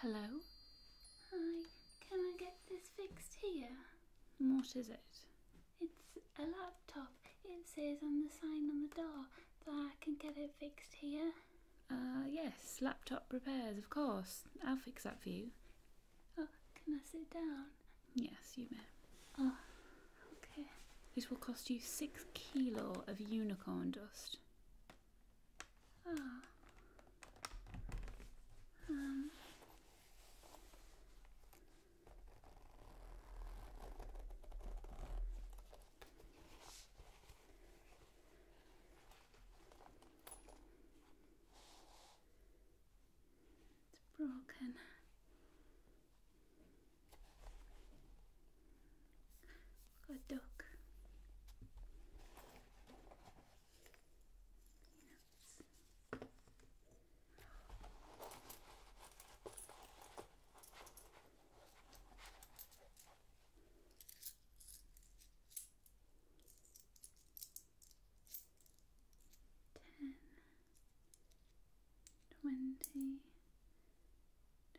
Hello? Hi, can I get this fixed here? What is it? It's a laptop. It says on the sign on the door that I can get it fixed here. Uh, yes, laptop repairs, of course. I'll fix that for you. Oh, can I sit down? Yes, you may. Oh, okay. This will cost you six kilo of unicorn dust. Ah. Um. It's broken. Good dog. Peanuts. Ten, twenty,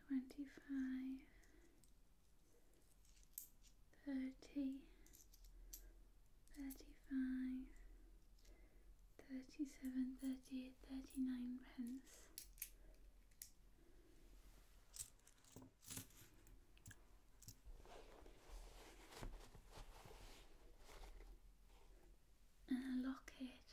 twenty-five, thirty, thirty-five, thirty-seven, thirty-eight, thirty-nine pence. And a locket.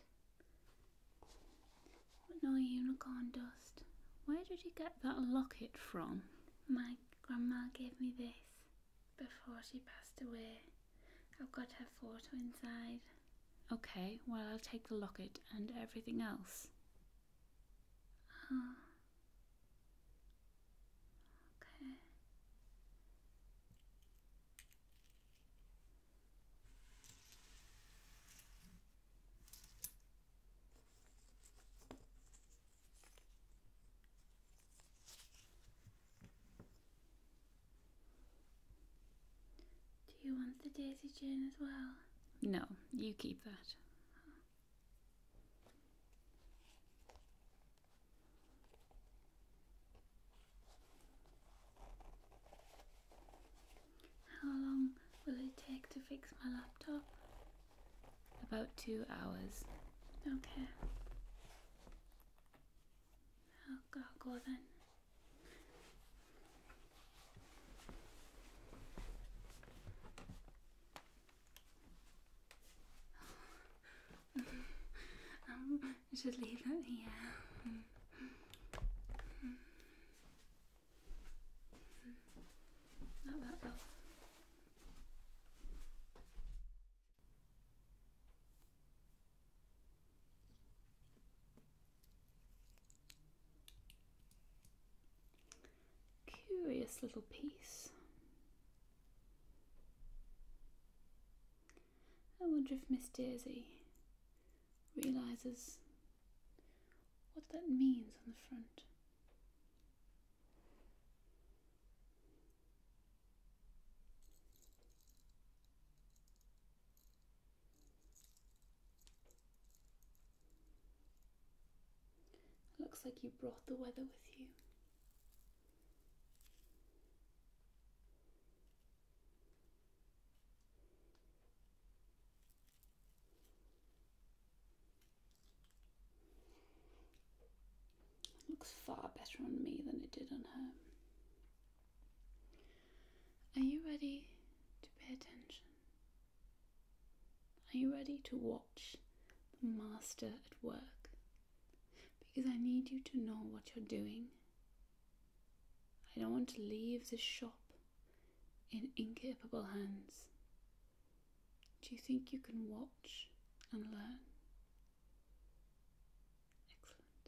But no unicorn dust. Where did you get that locket from? My Grandma gave me this before she passed away. I've got her photo inside. Okay, well, I'll take the locket and everything else. Oh. Okay. Do you want the daisy chain as well? No, you keep that. How long will it take to fix my laptop? About two hours. Okay. I'll go, then. I um, should leave it here. Not that well. Curious little piece. I wonder if Miss Daisy realises what that means on the front looks like you brought the weather with you. It looks far better on me than it did on her. Are you ready to pay attention? Are you ready to watch the master at work? Because I need you to know what you're doing. I don't want to leave this shop in incapable hands. Do you think you can watch and learn? Excellent.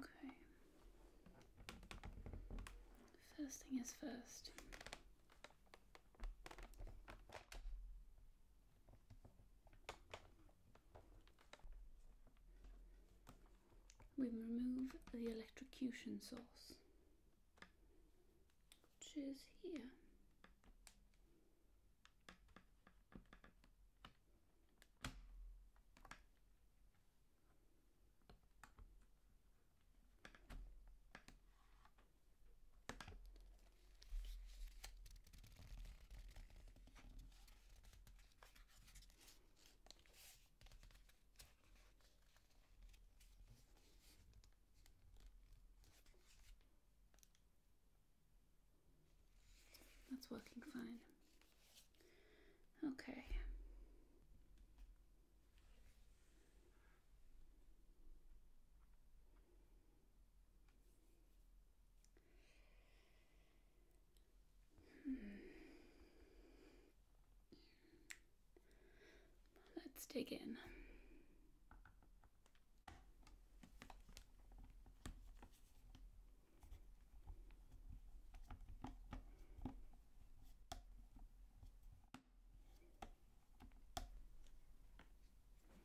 Okay. First thing is first. We remove the electrocution source, which is here. That's working fine. Okay. Hmm. Let's dig in.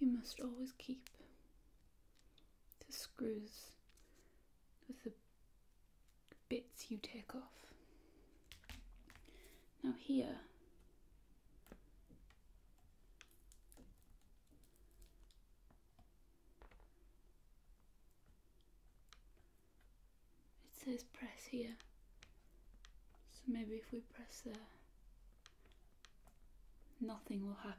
You must always keep the screws with the bits you take off. Now here, it says press here, so maybe if we press there, nothing will happen.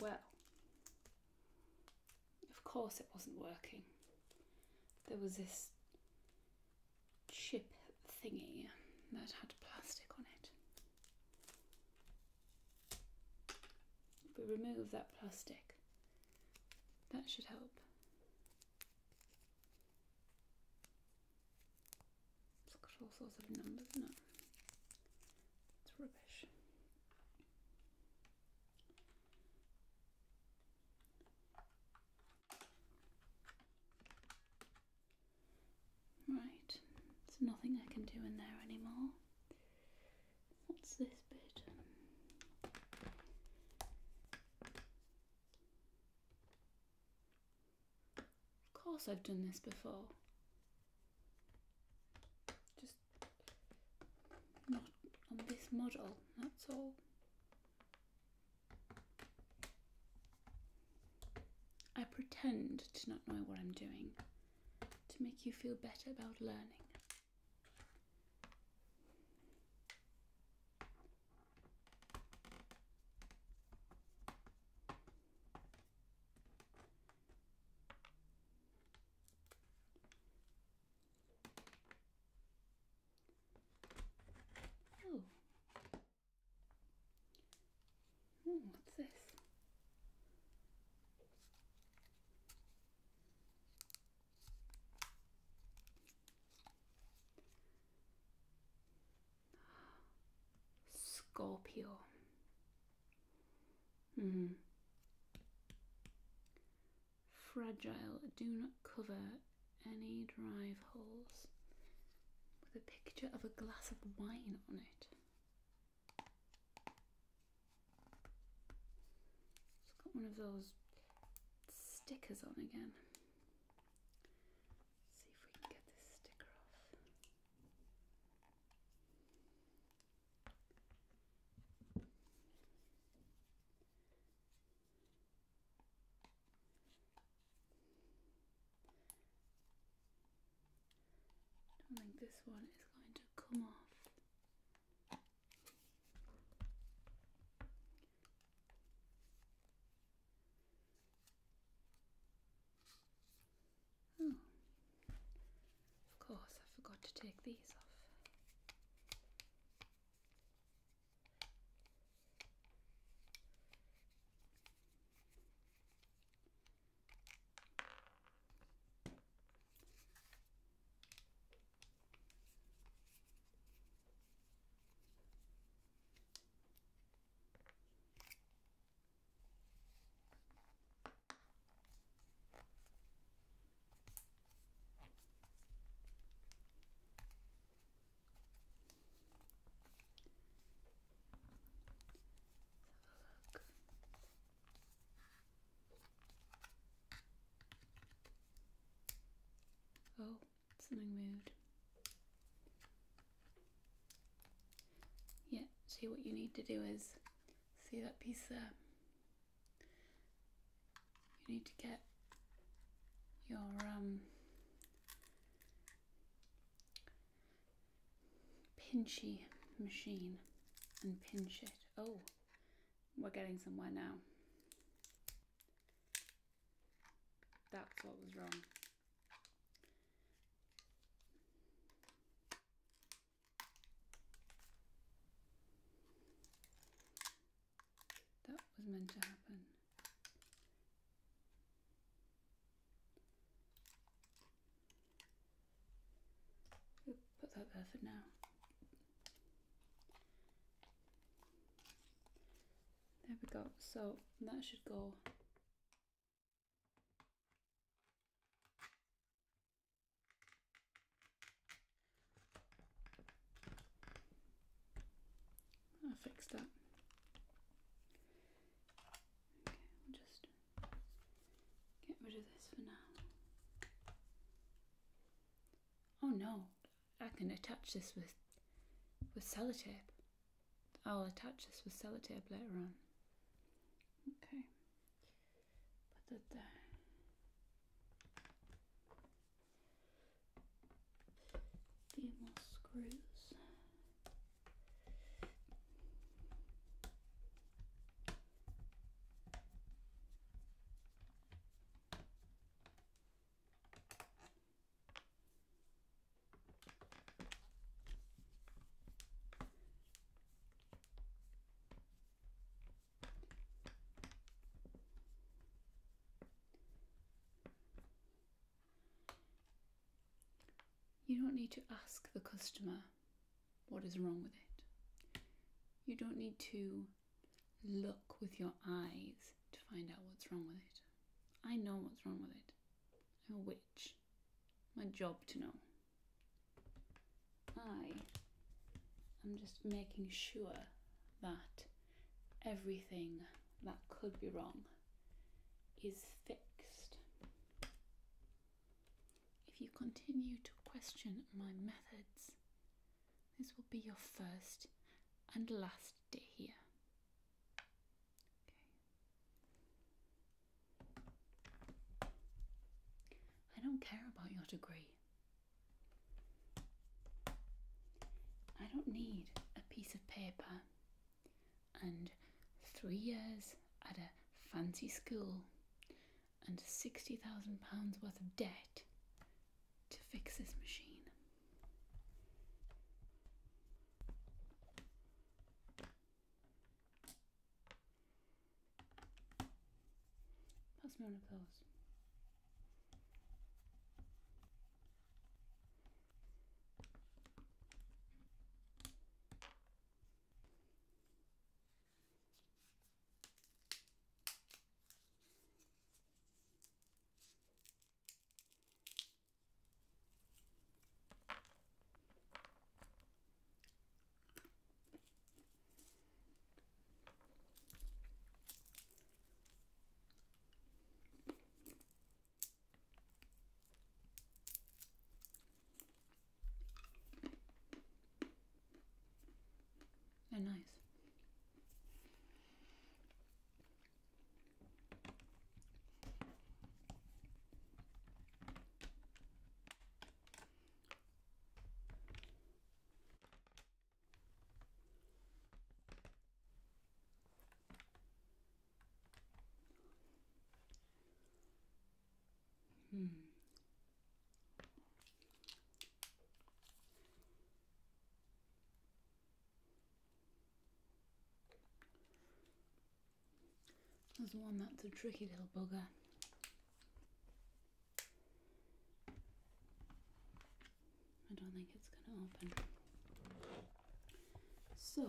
Well, of course it wasn't working. There was this chip thingy that had plastic on it. If we remove that plastic, that should help. It's got all sorts of numbers now. It's rubbish. Right, there's nothing I can do in there anymore. What's this bit? Of course I've done this before. Just not on this model, that's all. I pretend to not know what I'm doing to make you feel better about learning. Oh. what's this? Scorpio. Mm-hmm. Fragile. Do not cover any drive holes. With a picture of a glass of wine on it. it got one of those stickers on again. see if we can get this sticker off. I think this one is going to come off. Oh. Of course, I forgot to take these off. Oh, something moved. Yeah, see what you need to do is see that piece there. You need to get your um, pinchy machine and pinch it. Oh, we're getting somewhere now. That's what was wrong. That was meant to happen. put that there for now. There we go. So that should go I fixed that. Okay, we'll just get rid of this for now. Oh no, I can attach this with with sellotape. I'll attach this with sellotape later on. Okay patates. Few more screws. You don't need to ask the customer what is wrong with it. You don't need to look with your eyes to find out what's wrong with it. I know what's wrong with it. i a witch. My job to know. I am just making sure that everything that could be wrong is fixed. If you continue to question my methods, this will be your first and last day here. Okay. I don't care about your degree. I don't need a piece of paper and three years at a fancy school and £60,000 worth of debt to fix this machine. Pass me one of those. They're nice. Hmm. There's one that's a tricky little bugger. I don't think it's gonna open. So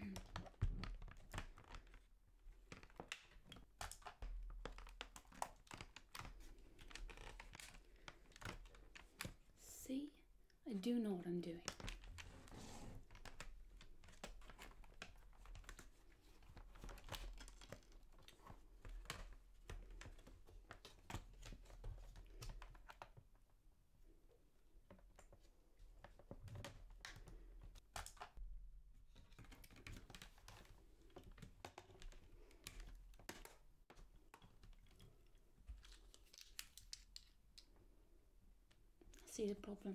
See, I do know what I'm doing see the problem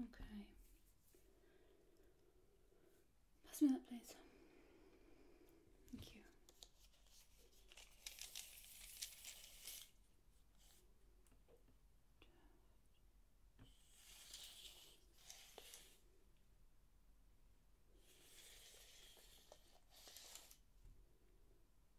Okay. Pass me that, please. Thank you.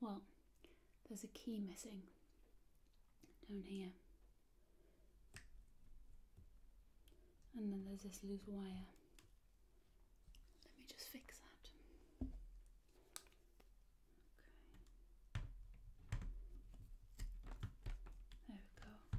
Well, there's a key missing down here. And then there's this loose wire. Let me just fix that. There we go.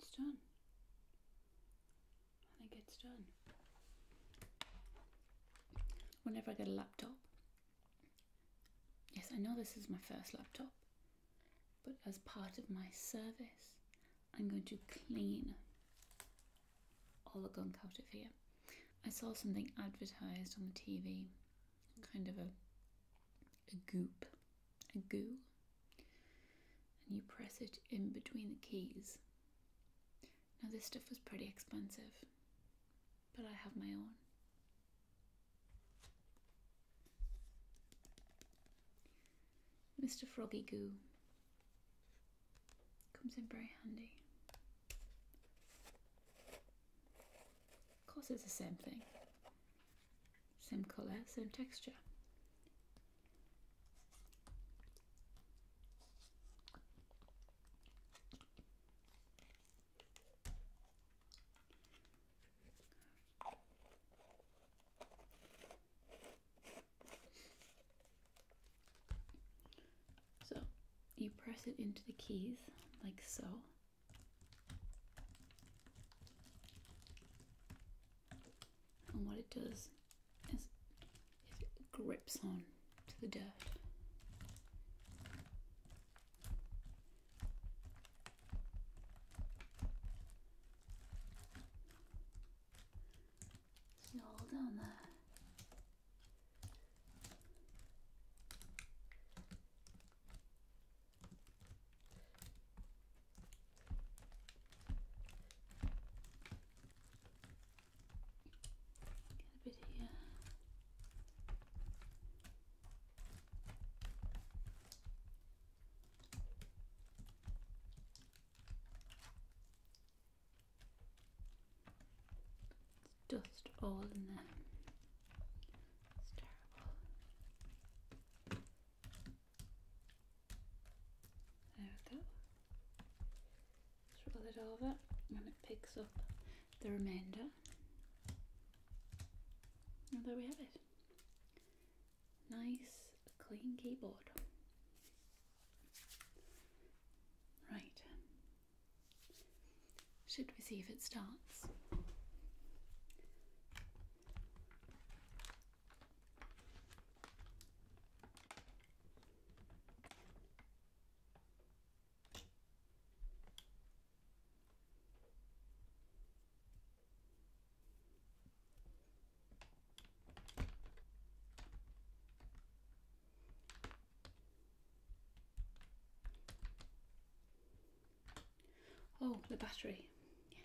it's done. I think it's done. Whenever I get a laptop, yes, I know this is my first laptop, but as part of my service, I'm going to clean all the gunk out of here. I saw something advertised on the TV, kind of a, a goop, a goo, and you press it in between the keys. Now, this stuff was pretty expensive, but I have my own. Mr. Froggy Goo. Comes in very handy. Of course, it's the same thing. Same colour, same texture. So you press it into the keys like so. And what it does is it grips on to the dirt. So hold on there. Get a bit here dust all in there. It's terrible. There we go. Just roll it and it picks up the remainder. And there we have it nice clean keyboard. Right. Should we see if it starts? Oh, the battery. Yes.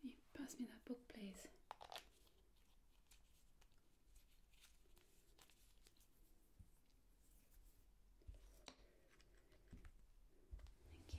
Can you pass me that book, please? Thank you.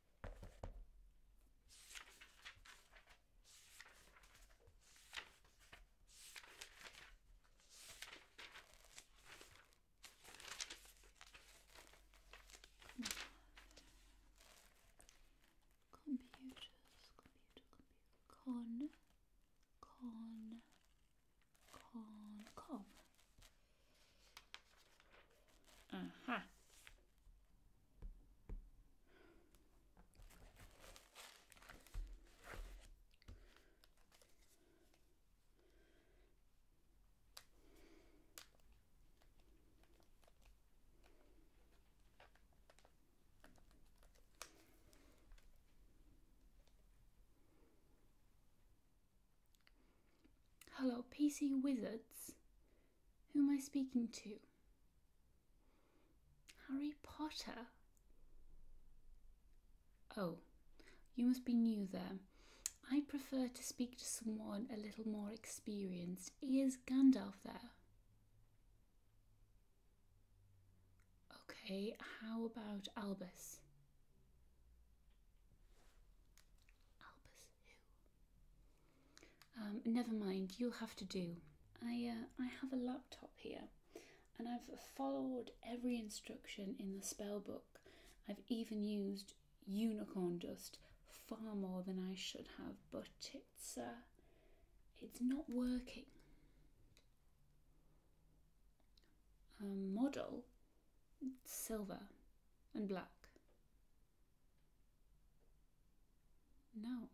Computers, computer, computer, con, con, con, com. Aha. Hello, PC Wizards. Who am I speaking to? Harry Potter? Oh, you must be new there. I prefer to speak to someone a little more experienced. Is Gandalf there? Okay, how about Albus? Albus. Um, never mind, you'll have to do. I, uh, I have a laptop here and I've followed every instruction in the spell book. I've even used unicorn dust far more than I should have, but it's, uh, it's not working. model, silver and black. No.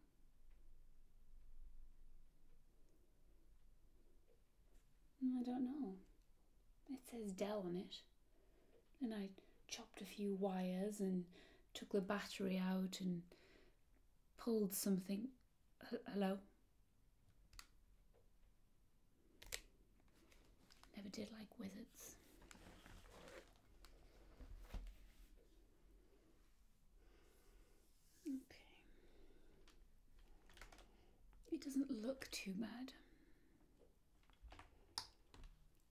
I don't know. It says Dell on it. And I chopped a few wires and took the battery out and pulled something. hello? Never did like wizards. Okay. It doesn't look too bad.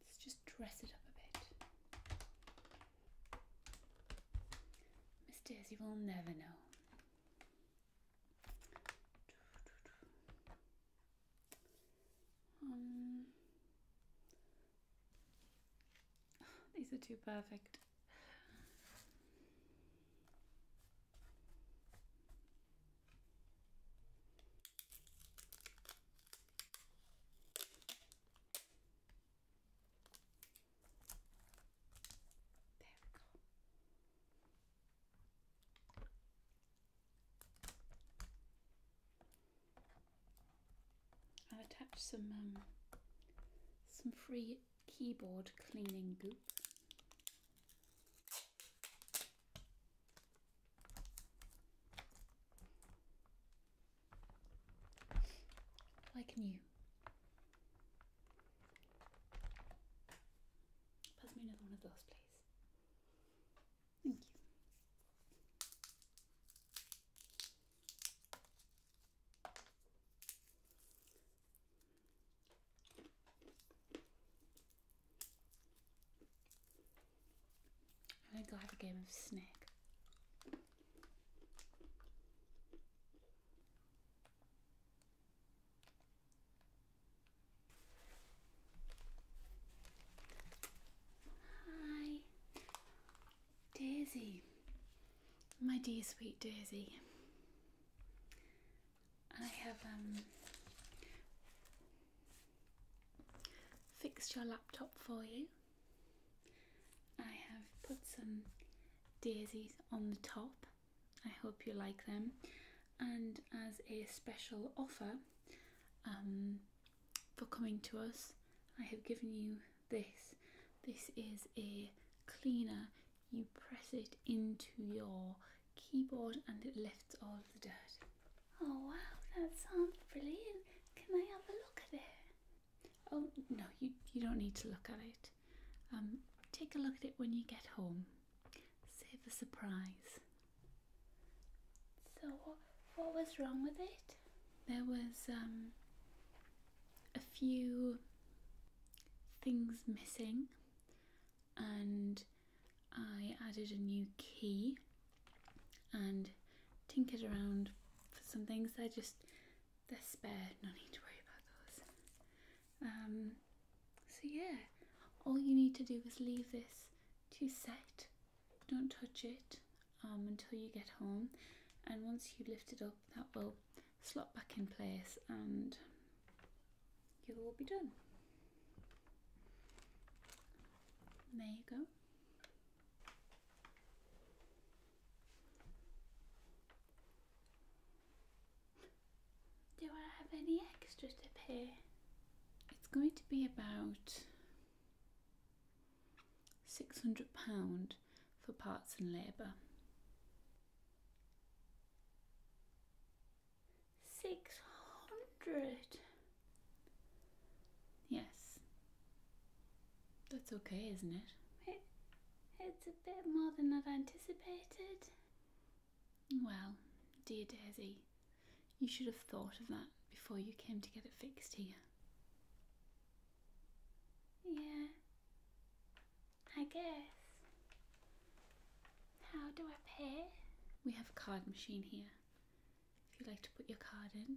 Let's just dress it up a bit. Miss Daisy will never know. Um, these are too perfect. There we go. I'll attach some um, some free keyboard cleaning goop. Like new. Pass me another one of those, please. Thank you. I think i have a game of snake. Hi. Daisy, my dear sweet Daisy, I have um, fixed your laptop for you. I have put some daisies on the top. I hope you like them. And as a special offer, um, for coming to us. I have given you this. This is a cleaner. You press it into your keyboard and it lifts all the dirt. Oh wow, that sounds brilliant. Can I have a look at it? Oh no, you, you don't need to look at it. Um, take a look at it when you get home. Save the surprise. So what was wrong with it? there was um, a few things missing and I added a new key and tinkered around for some things. They're just, they're spare, no need to worry about those. Um, so yeah, all you need to do is leave this to set don't touch it um, until you get home and once you lift it up that will slot back in place and you will be done. there you go. Do I have any extra to pay? It's going to be about £600 for parts and labour. Six hundred. Yes. That's okay, isn't it? It's a bit more than I'd anticipated. Well, dear Daisy, you should have thought of that before you came to get it fixed here. Yeah, I guess. How do I pay? We have a card machine here. If you'd like to put your card in.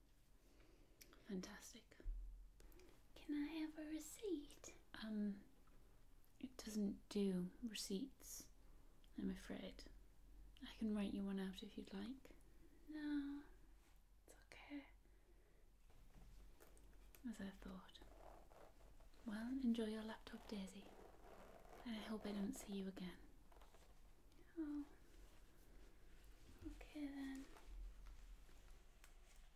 Fantastic. Can I have a receipt? Um, it doesn't do receipts, I'm afraid. I can write you one out if you'd like. No, it's okay. As I thought. Well, enjoy your laptop, Daisy. And I hope I don't see you again. Oh. Okay then.